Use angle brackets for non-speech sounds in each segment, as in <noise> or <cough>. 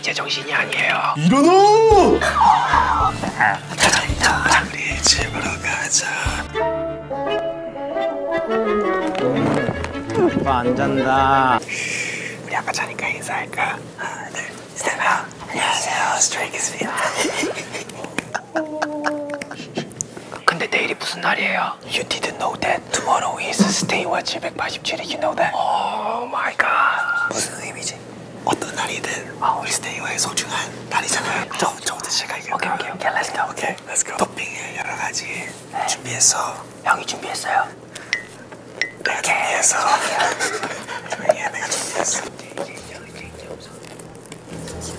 이제 정신이 아니에요. 일어나! 가자, 우리 집으로 가자. 오빠 안 잔다. 우리 아까 자니까 인사할까? 하나, 둘, 셋, 하 아, 안녕하세요, 스트레이키스입니다. <laughs> 근데 내일이 무슨 날이에요? 뭐야? You didn't know that. Tomorrow is stay와 787이 you know that. Oh my god. 무슨 의미지? 어떤 날이든 아, 우리 스테이와의 소중한 날이잖아요. 저, 네, 그렇죠. 저부터 시작할게요. 오케이, 오케이, 오케이. Let's go. 오케이, let's go. 토핑을 여러 가지 네. 준비했어. 형이 준비했어요. 내가 준비했어. <laughs> 조용히 내가 준비했어.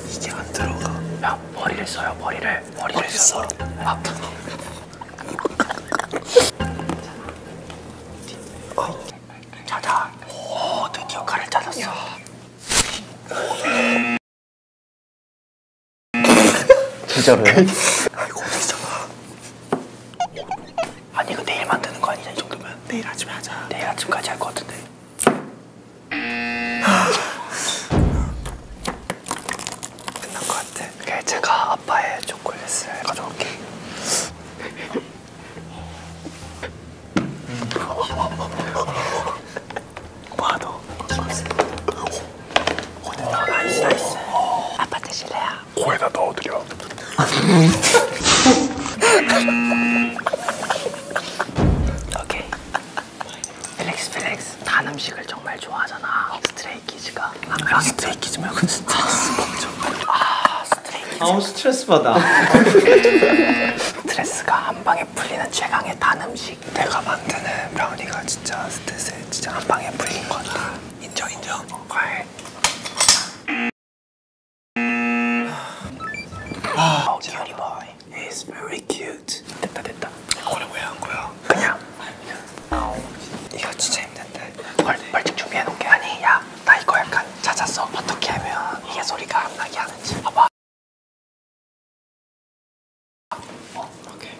이제 안 들어가. 야, 머리를 써요, 머리를. 머리를, 머리를 써. 아프. 찾아. 오, 드디어 칼을 찾았어. 진짜로요? 아이고, <laughs> 어디잖아. 아니, 이거 내일 만드는 거 아니냐, 이 정도면? 내일 아침에 하자. 내일 아침까지 할 것 같은데. <laughs> 끝난 것 같아. 그게 제가 아빠의 초콜릿을 가져올게. 와도. 나이스 나이스. 아빠 드실래요? 코에다 넣어드려. <laughs> 오케이. 필렉스 필렉스 단 음식을 정말 좋아하잖아 스트레이키즈가 아, 아니 스트레이키즈 말고 진짜 아, 아 스트레이키즈 아우 스트레스 받아 스트레스가 한 방에 풀리는 최강의 단 음식 내가 만드는 브라우니가 진짜 스트레스 진짜 한 방에 풀린 거다 인정 인정 어, 과일 아, 큐리 보이 He's very cute 됐다 됐다 이거를 왜한 거야? 그냥 이거 진짜 힘든데 벌, 벌칙 준비해놓은 게 아니 야나 이거 약간 찾았어 어떻게 하면 이게 소리가 안 나게 하는지 봐봐 어? 오케이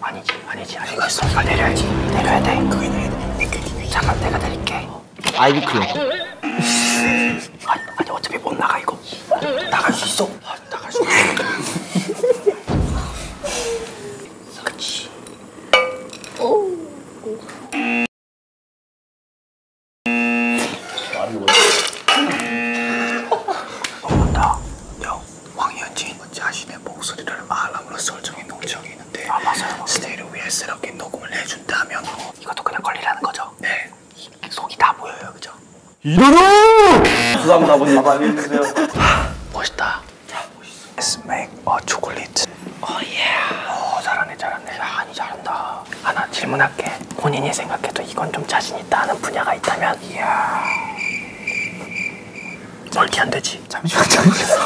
아니지 아니지 아니지 이거 소리가 내려야지 내려야 돼 그게 내려야 돼 잠깐 내가 내릴게 아이비클럽 아니, 아니 어차피 못 나가 이거 나갈 수 있어 나가지고 <laughs> 그치 오 어. 어머나 형 황현진 자신의 목소리를 말함으로써 설정해 놓은 적이 있는데 아 맞아요 스테이를 위해 새롭게 녹음을 해준다면 이것도 그냥 걸리라는 거죠? 네 속이 다 보여요 그죠? 이러노! 부담 나보니 많이 해주세요. 멋있다. 자, 멋있어. Let's make a chocolate. Oh yeah. 오, 잘하네, 잘하네. 야, 아니, 잘한다. 하나 질문할게. 본인이 생각해도 이건 좀 자신 있다 하는 분야가 있다면? 이야. 멀티 안 되지. 잠시만, 잠시만.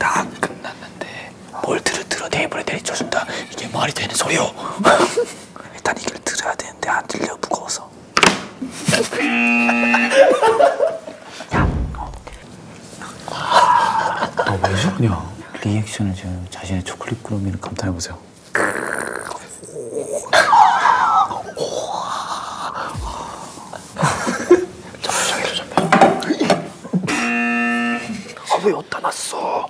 다 끝났는데 볼트를 들어 테이블에 내리쳐준다. 이게 말이 되는 소리요? 일단 이걸 들어야 되는데 안 들려 무거워서. 야, 어. 아, 너왜 저러냐? 리액션을 지금 자신의 초콜릿 구름이를 감탄해 보세요. 아, 왜 어디다 놨어?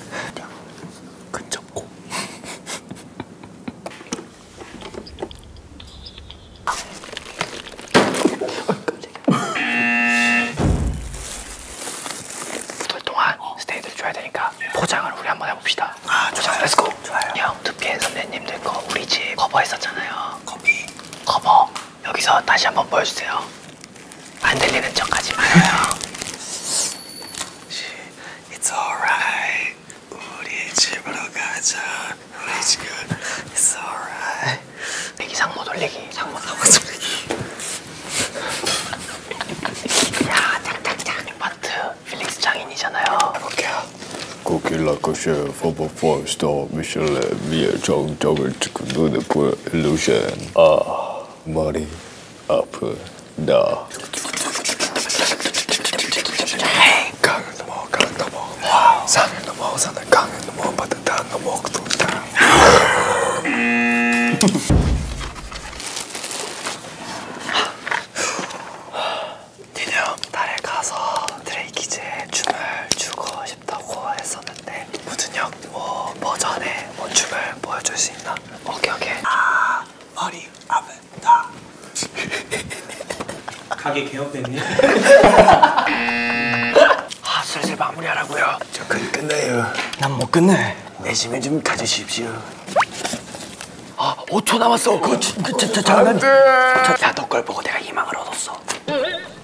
그냥 근접고 그동안 스테이를 줘야 되니까 포장을 우리 한번 해봅시다. 아, 포장 렛츠고. 좋아요. 형, 두피엔 선배님들 거 우리 집 커버했었잖아요. 커피. 커버. 여기서 다시 한번 보여주세요. 안 들리는 척 하지 말아요. <laughs> It's alright. 우리 집으로 가자. 우리 지금 It's alright. 돌리기 상모 돌리기 상모 <laughs> 상모 돌리기. <laughs> 야, 짝짝짝. 마트 필릭스 장인이잖아요. 볼게요. 코킬라 코쉐 포버 포스터 미슐레 미의 정적을 찍고 눈에 보여 일루션 아 머리 아프다. 강을 넘어 강을 넘어 산을 넘어 산을 강을 넘어 바다 다 넘어 그다 니네 달에 가서 드레이키즈의 춤을 추고 싶다고 했었는데 무슨 여 가격 뭐 버전의 뭐 원춤을 뭐 보여줄 수 있나? 오케이 오케이 아 머리 아프다 <laughs> 가게 개업됐니? <laughs> 아 슬슬 마무리하라고요 저 그, 끝내요 난 못 끝내 내심에 좀 가주십시오 아 5초 남았어 그, 그, 그, 그, 잠깐 야너 걸 보고 내가 희망을 얻었어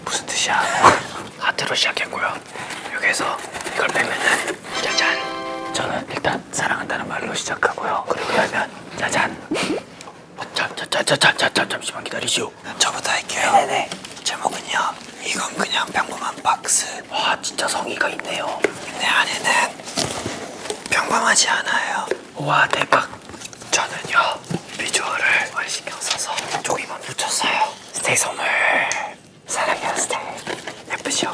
무슨 뜻이야 하트로 시작했고요 여기에서 이걸 빼면은 짜잔 저는 일단 사랑한다는 말로 시작하고요 그리고 열면 짜잔 잠잠잠잠잠 잠시만 기다리시오 저부터 할게요 네네 제목은요 이건 그냥 평범한 박스 와 진짜 성의가 있네요 근데 안에는 평범하지 않아요 와 대박 저는요 비주얼을 정말 신경 써서 조기만 붙였어요 스테이 선물 사랑 헤어스타일 예쁘시오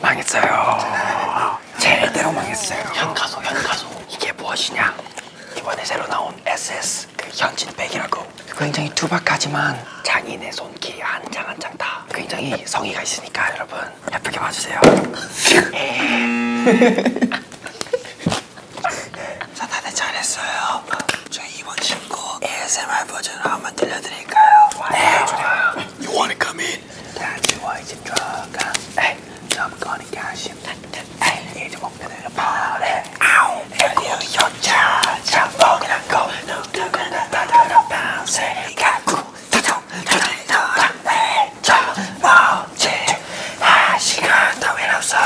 망했어요 제대로 망했어요 현가소 현가소 이게 무엇이냐 이번에 새로 나온 SS 그 현진백이라고 굉장히 투박하지만 장인의 손길 한장 한 장 다 굉장히 성의가 있으니까 여러분 예쁘게 봐주세요 <laughs> 예. <laughs> 자 다들 잘했어요 저 이번 신곡 ASMR 버전으로 한번 들려드릴까요? 네 좋아요 You wanna come in? 다 좋아해서 들어가 에이 접근이 가심 에이 이제 목표는 버려 아우 에디어 여자 잡먹으란 거 누구나 다들어 밤새 가구 다정 다정 다정 저 멋지 아 시간 더 외롭소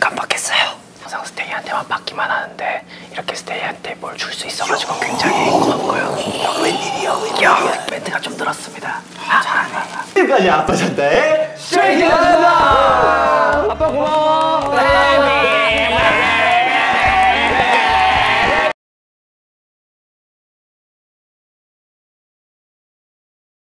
깜빡했어요. 항상 스테이한테만 받기만 하는데 이렇게 스테이한테 뭘 줄 수 있어가지고 굉장히 고맙고요. 웬일이야 웬일이야. 멘트가 좀 늘었습니다. 아, 지금까지 아빠 잔다의 쉐이킹 한다. 아빠 고마워. 네, 네, 네,